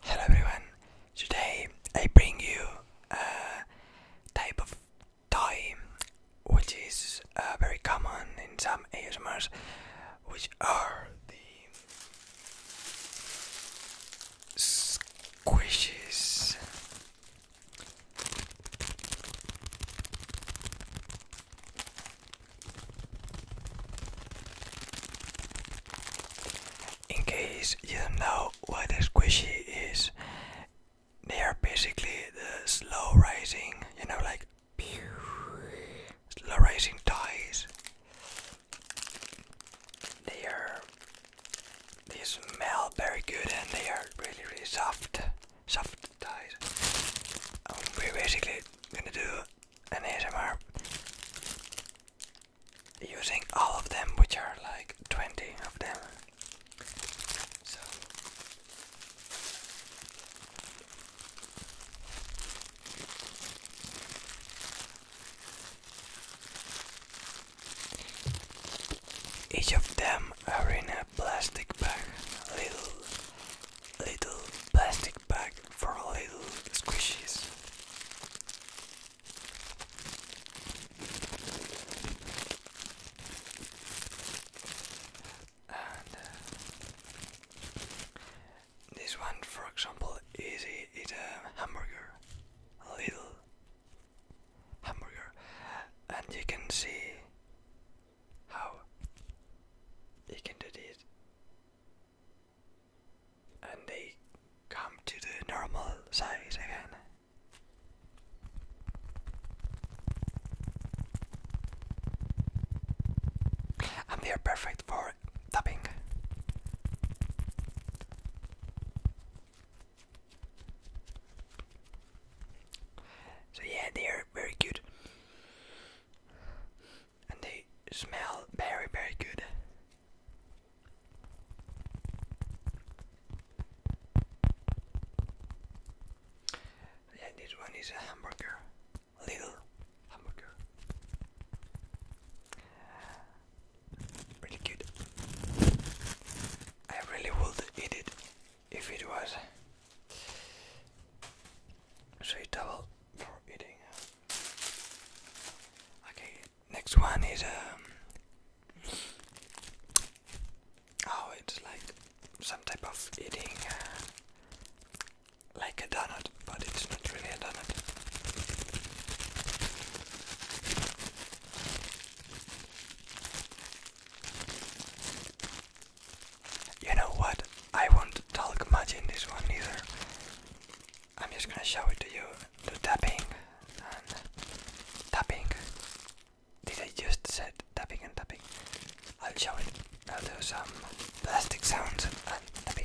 Hello everyone. Today I bring you a type of toy which is uh, very common in some ASMRs, which are the squishes. In case you don't know what a squishy is, they are basically the slow rising, you know, like slow rising ties. They are they smell very good and they are really really soft soft ties. Um, we're basically gonna do an ASMR using all of them, which are like 20 of them. So each of them are in a plastic bag, little, little plastic bag for little squishies. Uh, this one, for example, is a hamburger, little hamburger, and you can see how you can do this and they come to the normal size again. And they are perfect for tapping. So yeah, they are very good and they smell very, very good. Yeah, this one is a hamburger, little hamburger. Really good. I really would eat it if it was suitable for eating. Okay, Next one is um oh it's like some type of eating uh, like a donut, but it's not really a donut. You know what? I won't talk much in this one either. I'm just gonna show it to you. The tapping and tapping. Did I just said tapping and tapping? I'll show it. I'll do some plastic sounds and tapping.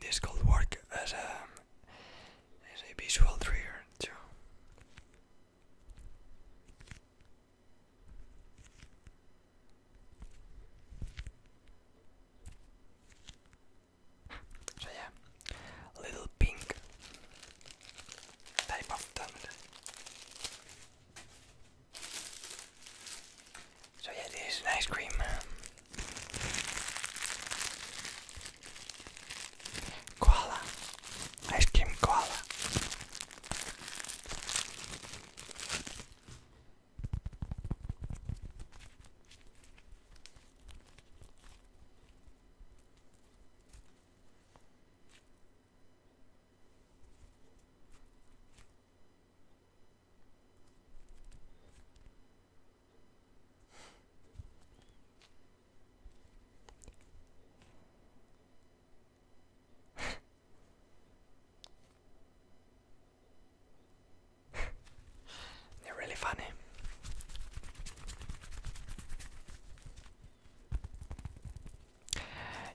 This could work as a as a visual trigger too. So yeah, little pink type of thumbnail. So yeah, this is ice cream. Koala. Ice cream koala. They're really funny.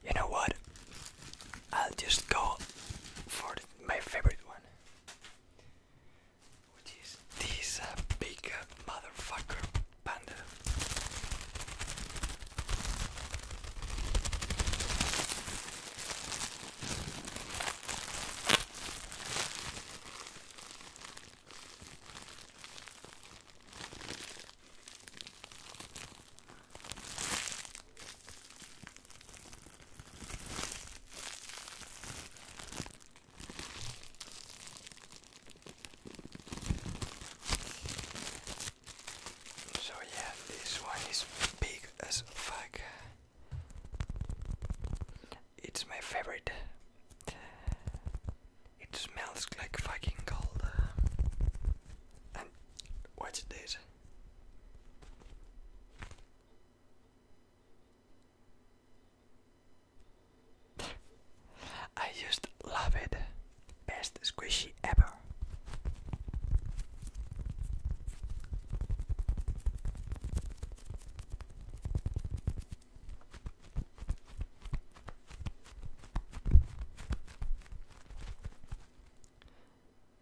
You know what? I'll just go for my favorite one, which is this uh, big uh, motherfucker panda. So yeah, this one is big as fuck. It's my favorite. It smells like fucking gold. And watch this. I just love it. Best squishy ever.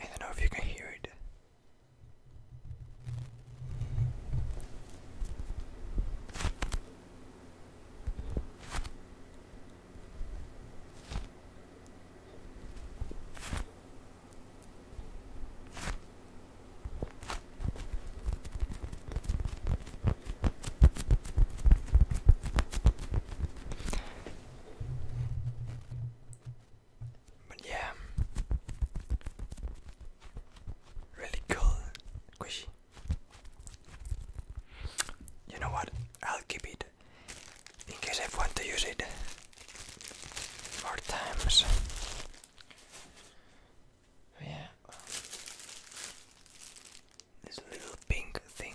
I don't know if you can hear it. But yeah, really cool squishy. You know what? I'll keep it in case I want to use it more times. Yeah, this little pink thing.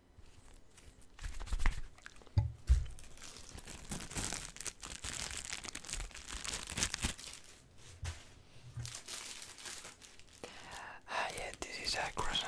Ah, yeah, this is a croissant.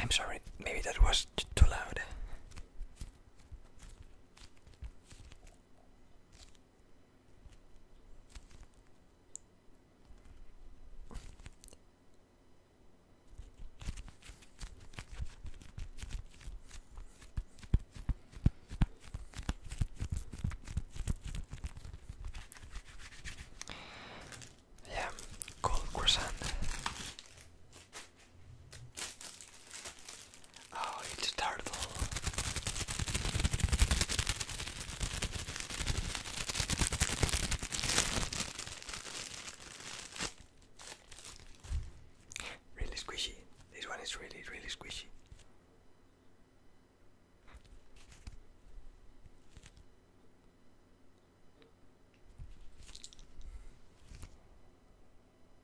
I'm sorry, maybe that was too loud. Yeah, cold croissant. Oh, it's a turtle. Really squishy. This one is really, really squishy.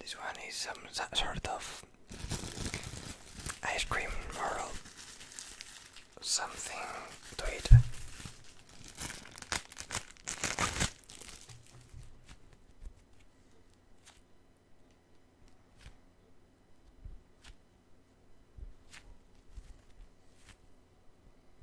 This one is some sort of ice cream world. something to eat.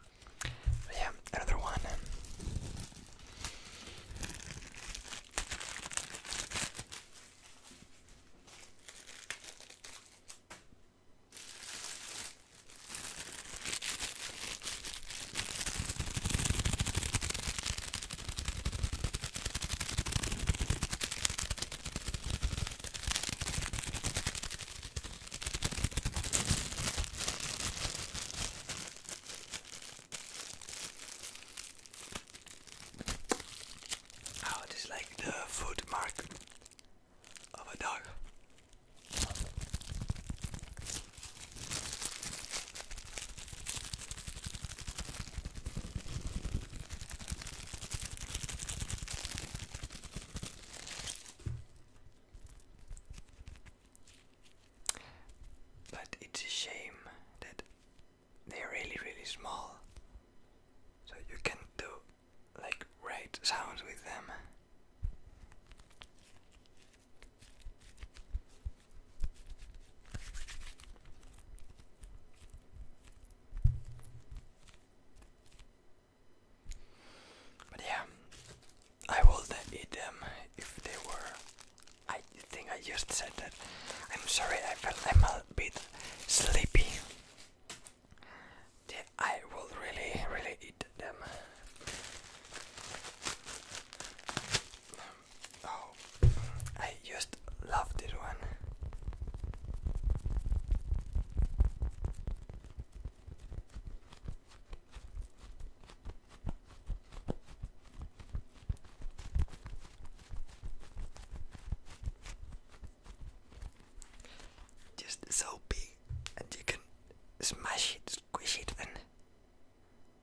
But yeah, another one. Oh, it is like the foot mark of a dog. But it's a shame that they're really, really small, so you can do like right sounds with them. But yeah, I would eat them um, if they were. I think I just said that. I'm sorry, I felt I'm a bit sleepy. Yeah, I would really, really eat them oh, I just love this one. Just so big, and you can smash it, squish it, and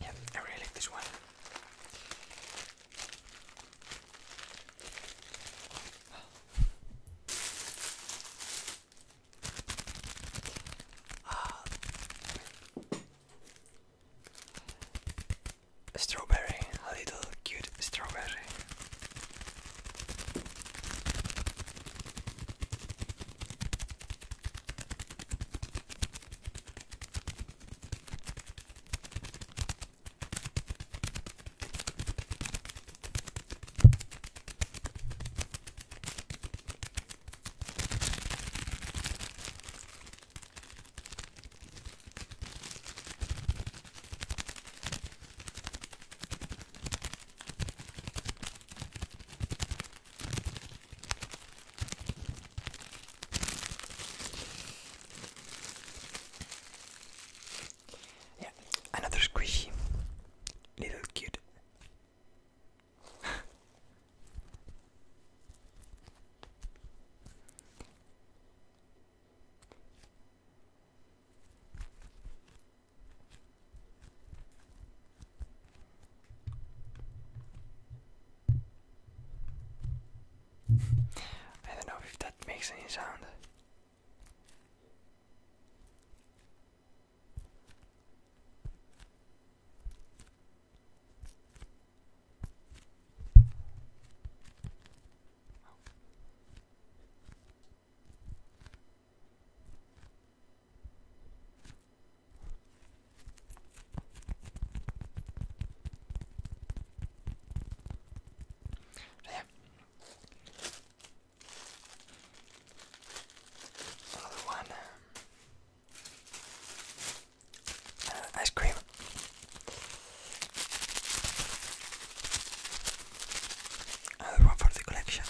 Yeah, I really like this one. Uh, Strawberry, a little cute strawberry. Yeah, another squishy little cute. I don't know if that makes any sound. There. Another one. Uh, ice cream. Another uh, one for the collection.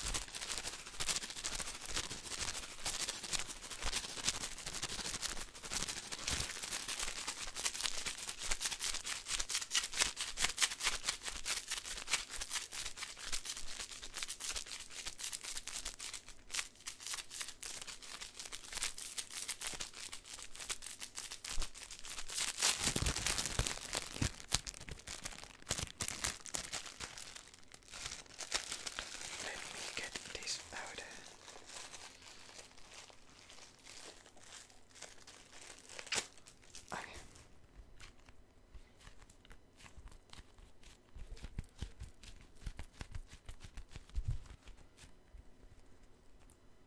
Let me get this powder. Okay.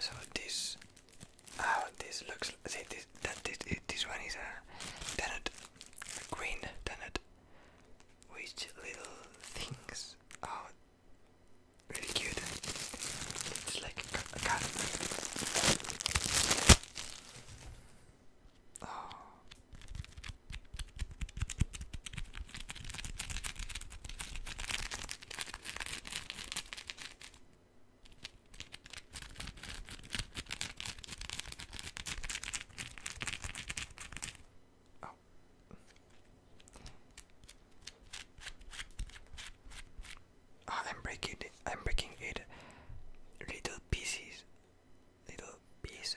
So this, ah, this looks. See, this that this this one is a donut, green donut which little things are pretty cute. It's like a cat. Ah. Oh. Ah, I'm breaking I'm breaking it. Little pieces. Little pieces.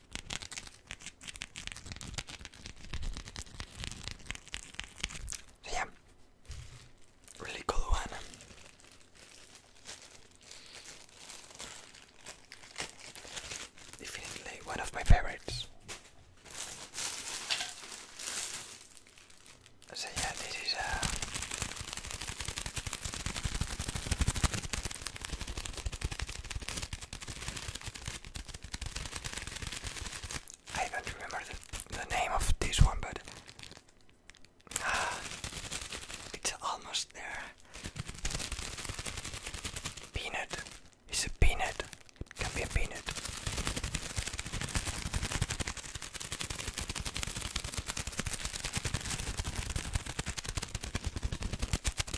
yeah, really cool one. Definitely one of my favorites. So yeah, this is uh, I don't remember the, name of this one, but ah, it's almost there. Peanut. It's a peanut. can be a peanut.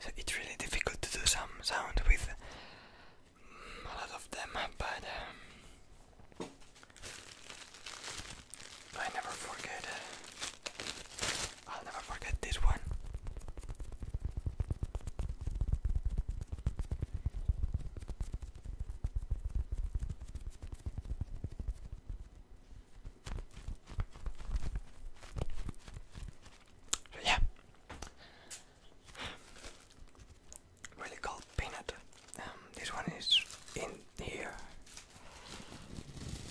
So it's really difficult to do some sound with mm, a lot of them, but um, I never forget. I'll never forget this one. yeah, really called peanut. Um, this one is in here.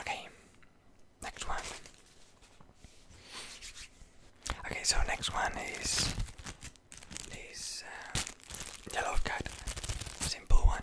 Okay, next one. Okay, so next one is this uh, yellow card, simple one.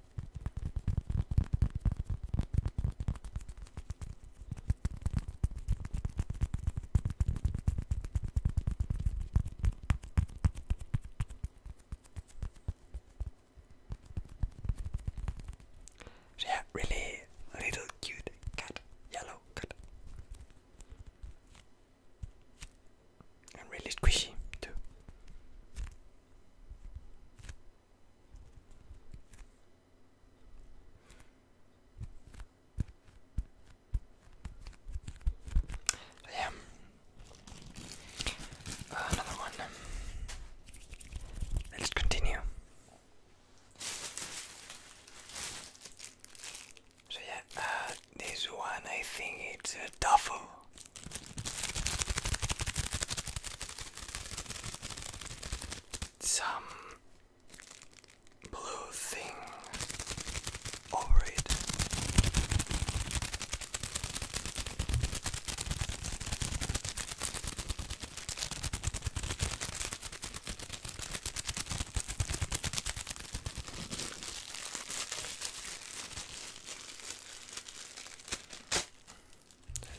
She had really little cute cat, yellow cat, and really squishy too. Yeah. Uh, another one. Let's continue. So yeah, uh, this one I think it's a uh, tofu some blue thing over it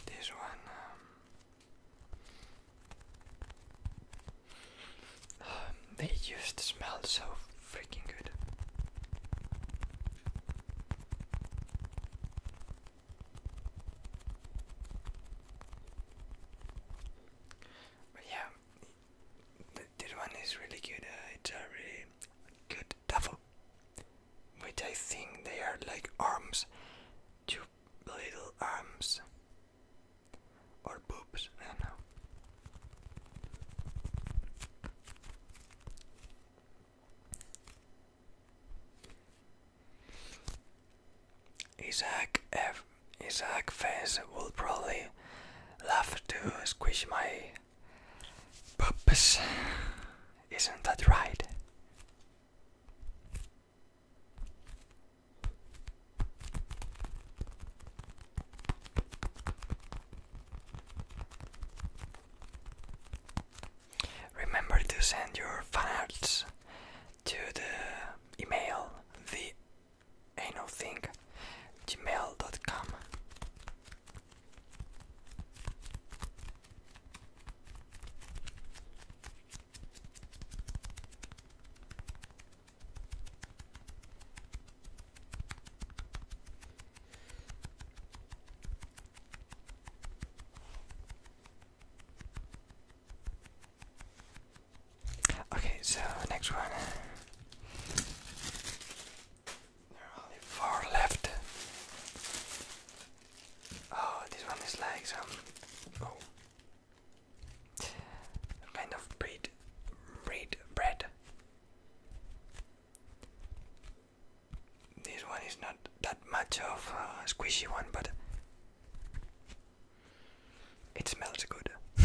this one um, they just smell so freaking good. But yeah, this one is really good. Uh, it's a really good duffel which I think they are like arms, two little arms, or boobs, I don't know. Isaac F. Isaac Fez will probably love to squish my purpose. Isn't that right? Remember to send your fan to the email the anothinggmail.com Okay, so next one. There are only four left. Oh, this one is like oh, some. kind of breed. Breed. Bread. This one is not that much of a squishy one, but. It smells good.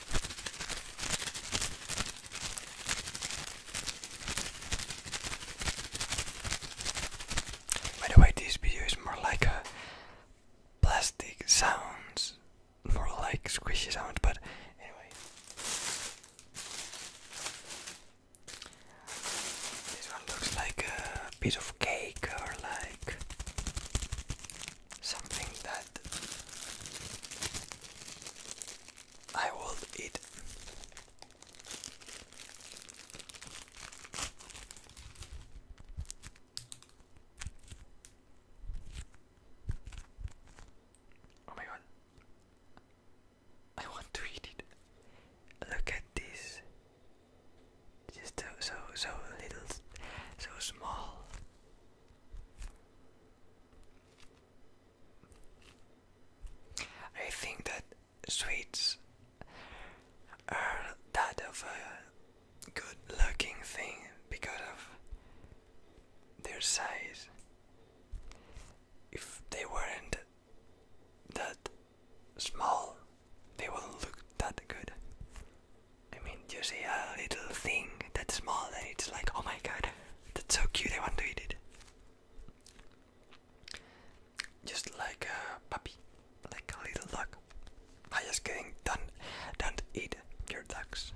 By the way, this video is more like a plastic sounds, more like squishy sounds, but anyway. This one looks like a piece of cake or like something that I will eat. Oh my god. I want to eat it. Look at this. Just so so so little so small. I think that sweets are that of a good looking thing because of their size. If they weren't that small, they wouldn't look that good. I mean, you see a little thing that's small and it's like, oh my god, that's so cute, I want to eat it. Just like a puppy, like a little dog. I'm just kidding, don't, don't eat your dogs.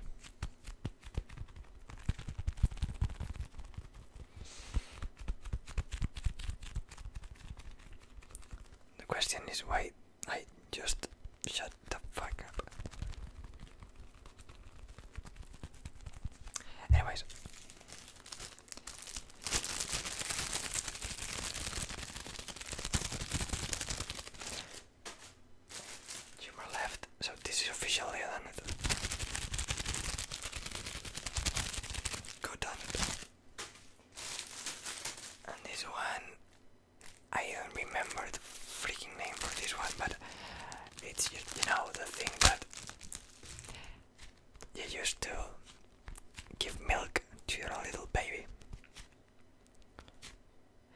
The question is why I just shut the fuck up. Anyways. Two more left, so this is officially done Good done And this one I don't uh, remember the freaking name for this one, but it's you, know the thing that you used to give milk to your little baby.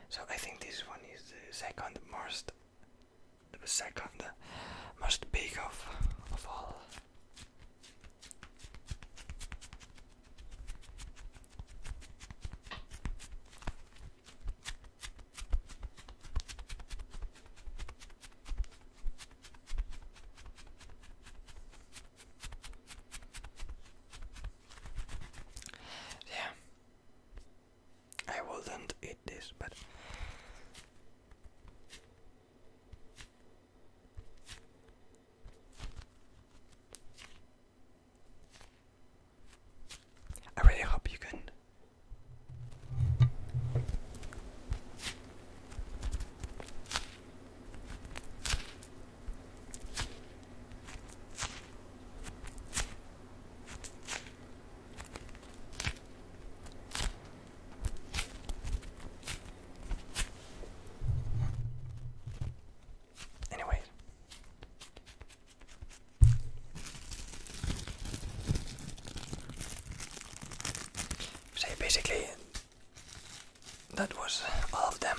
So I think this one is the second most, the second most big of of all. Yeah, I wouldn't eat this, but I really hope you can Anyway, so basically, that was all of them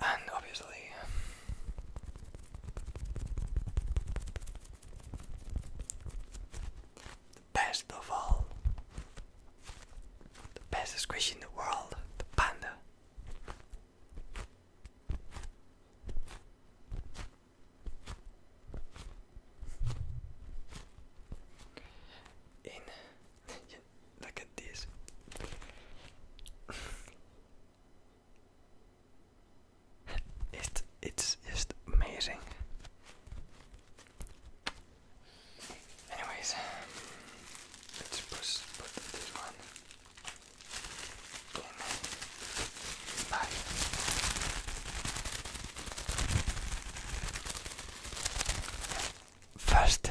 and obviously the best of all the best squish in the world the panda in Look at this. it, it's just amazing. Anyways, let's push, put this one First,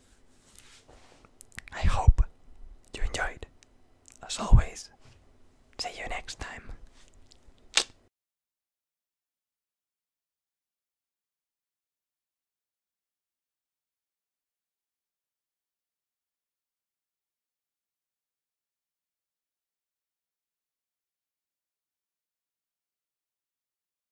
I hope you enjoyed. As always, see you next time.